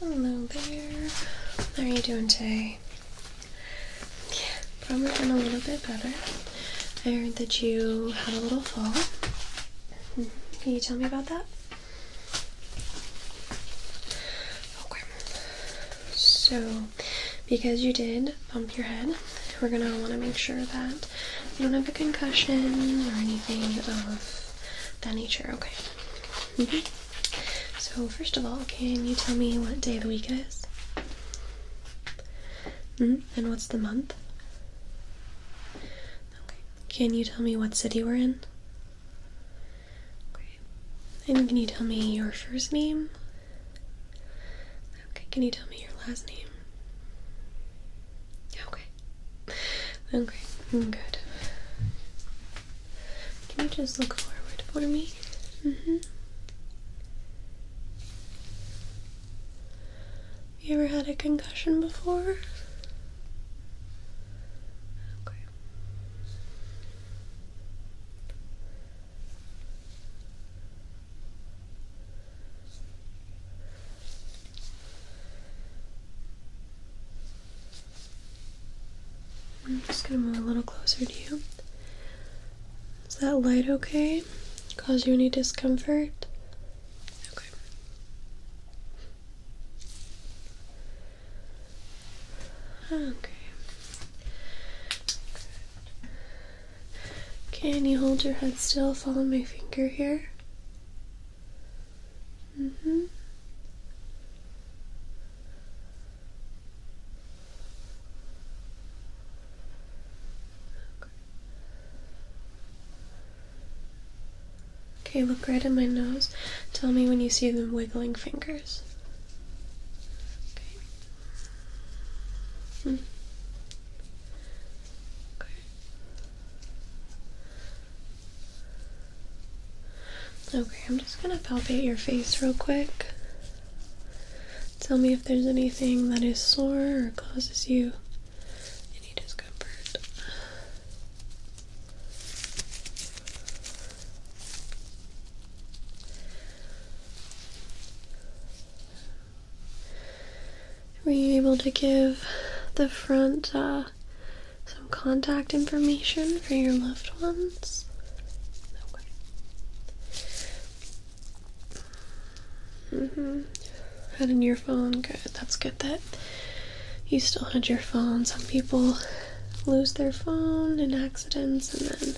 Hello there. How are you doing today? probably been a little bit better. I heard that you had a little fall. Hmm, can you tell me about that? Okay. So because you did bump your head, we're gonna want to make sure that you don't have a concussion or anything of that nature. Okay. Mm So first of all, can you tell me what day of the week it is? Mm-hmm. And what's the month? Okay. Can you tell me what city we're in? Okay. And can you tell me your first name Okay, can you tell me your last name? Okay. Okay, mm, good. Can you just look forward for me? Mm-hmm. You ever had a concussion before? Okay. I'm just gonna move a little closer to you. Is that light okay? Cause you any discomfort? Okay. Okay. Can you hold your head still? Follow my finger here. hmm. Okay, look right at my nose. Tell me when you see the wiggling fingers. Hmm. Okay, I'm just gonna palpate your face real quick. Tell me if there's anything that is sore or causes you any discomfort. Were you able to give the front uh, some contact information for your loved ones? Mm hmm. Had in your phone. Good. That's good that you still had your phone. Some people lose their phone in accidents and then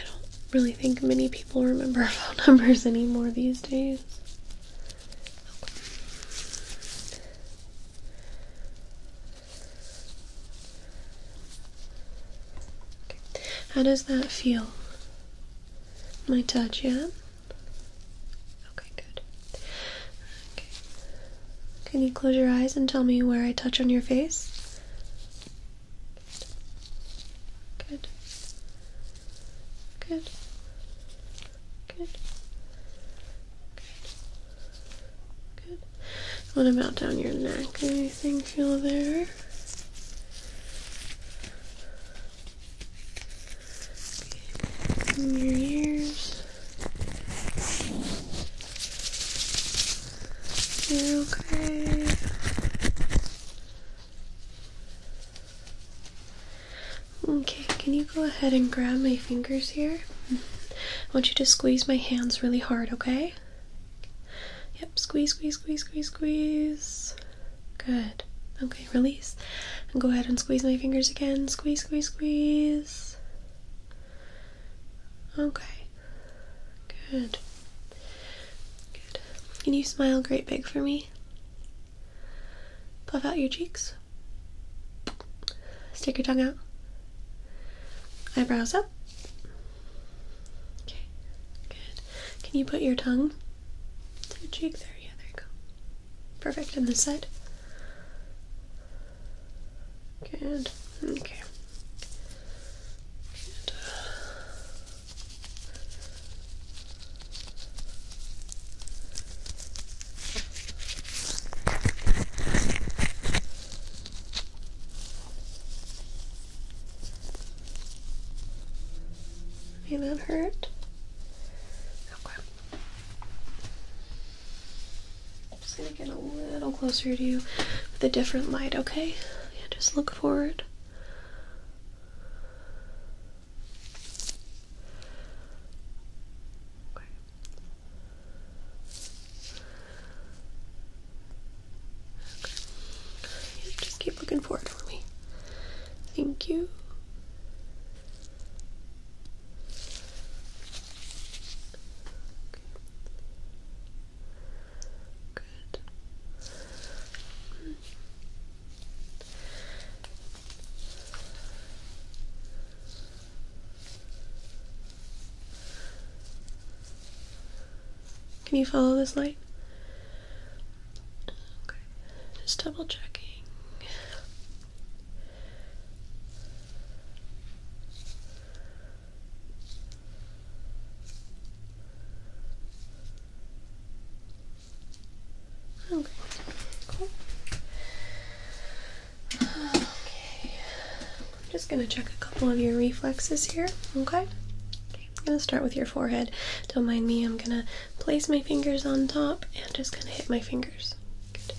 I don't really think many people remember phone numbers anymore these days. How does that feel? My touch, yeah? Okay, good. Okay. Can you close your eyes and tell me where I touch on your face? Good. Good. Good. Good. Good. What about down your neck? Anything feel there? your ears okay? Okay, can you go ahead and grab my fingers here? I want you to squeeze my hands really hard, okay? Yep, squeeze, squeeze, squeeze, squeeze, squeeze. Good. Okay, release. And go ahead and squeeze my fingers again. Squeeze, squeeze, squeeze. Okay. Good. Good. Can you smile great big for me? Puff out your cheeks. Stick your tongue out. Eyebrows up. Okay. Good. Can you put your tongue to your cheek there? Yeah, there you go. Perfect. on this side. Good. Okay. Good. that hurt? Okay. I'm just gonna get a little closer to you with a different light, okay? Yeah, just look forward. Okay. Okay. Yeah, just keep looking forward for me. Thank you. Good. Can you follow this light? Just double checking. Okay, cool. Okay, I'm just gonna check a couple of your reflexes here, okay? Okay, I'm gonna start with your forehead. Don't mind me, I'm gonna place my fingers on top and just gonna hit my fingers. Good.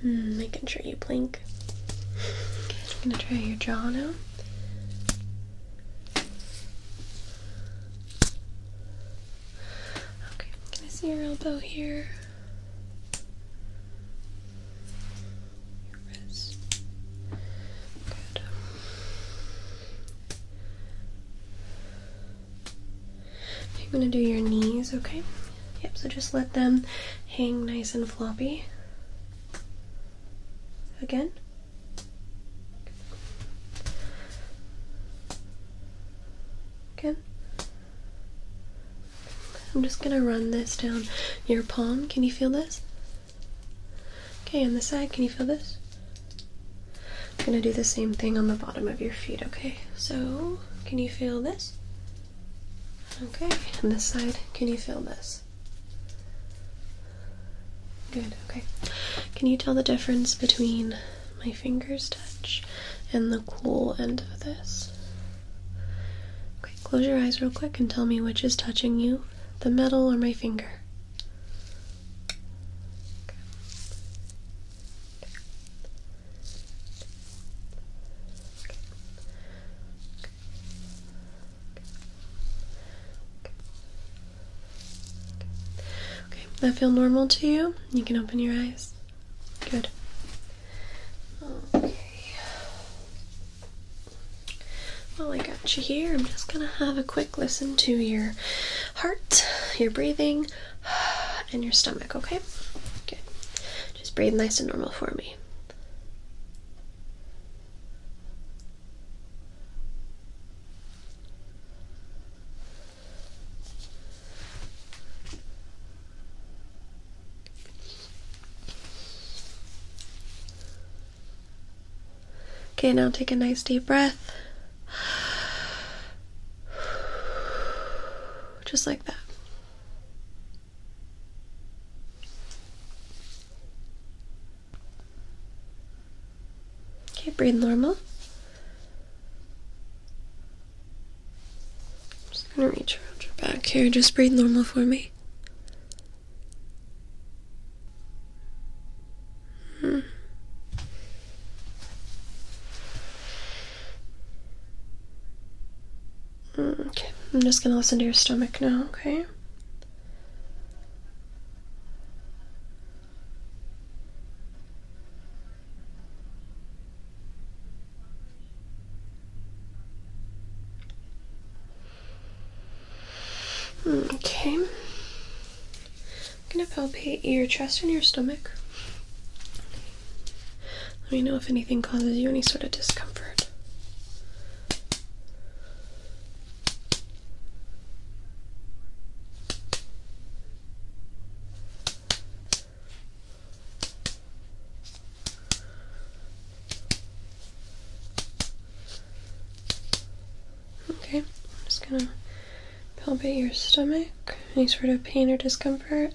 Hmm, making sure you blink. I'm gonna try your jaw now. Okay, can I see your elbow here? Your wrist. Good. You're gonna do your knees, okay? Yep, so just let them hang nice and floppy. Again. Again. I'm just gonna run this down your palm. Can you feel this? Okay, on the side, can you feel this? I'm gonna do the same thing on the bottom of your feet, okay? So, can you feel this? Okay, on this side, can you feel this? Good, okay. Can you tell the difference between my fingers' touch and the cool end of this? Okay, close your eyes real quick and tell me which is touching you the metal or my finger. Okay, that feel normal to you? You can open your eyes. Good. Okay. Well, I got you here. I'm just gonna have a quick listen to your heart, your breathing, and your stomach, okay? Good. Just breathe nice and normal for me. Okay, now take a nice deep breath. Just like that. Okay, breathe normal. I'm just gonna reach around your back here. Just breathe normal for me. Okay, I'm just gonna listen to your stomach now, okay? Mm, okay. I'm gonna palpate your chest and your stomach. Let me know if anything causes you any sort of discomfort. Okay, I'm just gonna palpate your stomach. Any sort of pain or discomfort?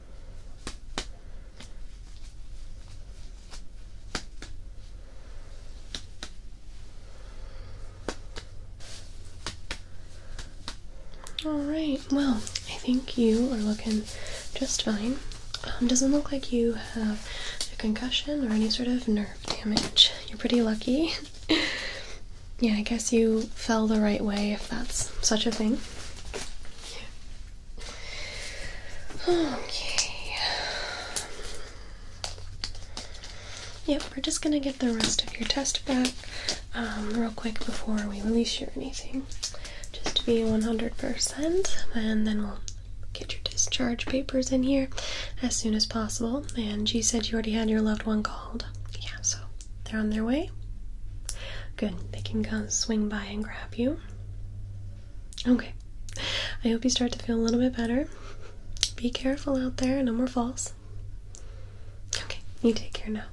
All right. Well, I think you are looking just fine. Um, doesn't look like you have a concussion or any sort of nerve damage. You're pretty lucky. Yeah, I guess you fell the right way if that's such a thing. Okay. Yep, we're just gonna get the rest of your test back um, real quick before we release you or anything. Just to be 100%, and then we'll get your discharge papers in here as soon as possible. And she said you already had your loved one called. Yeah, so they're on their way? Good. They can come swing by and grab you. Okay. I hope you start to feel a little bit better. Be careful out there, no more falls. Okay, you take care now.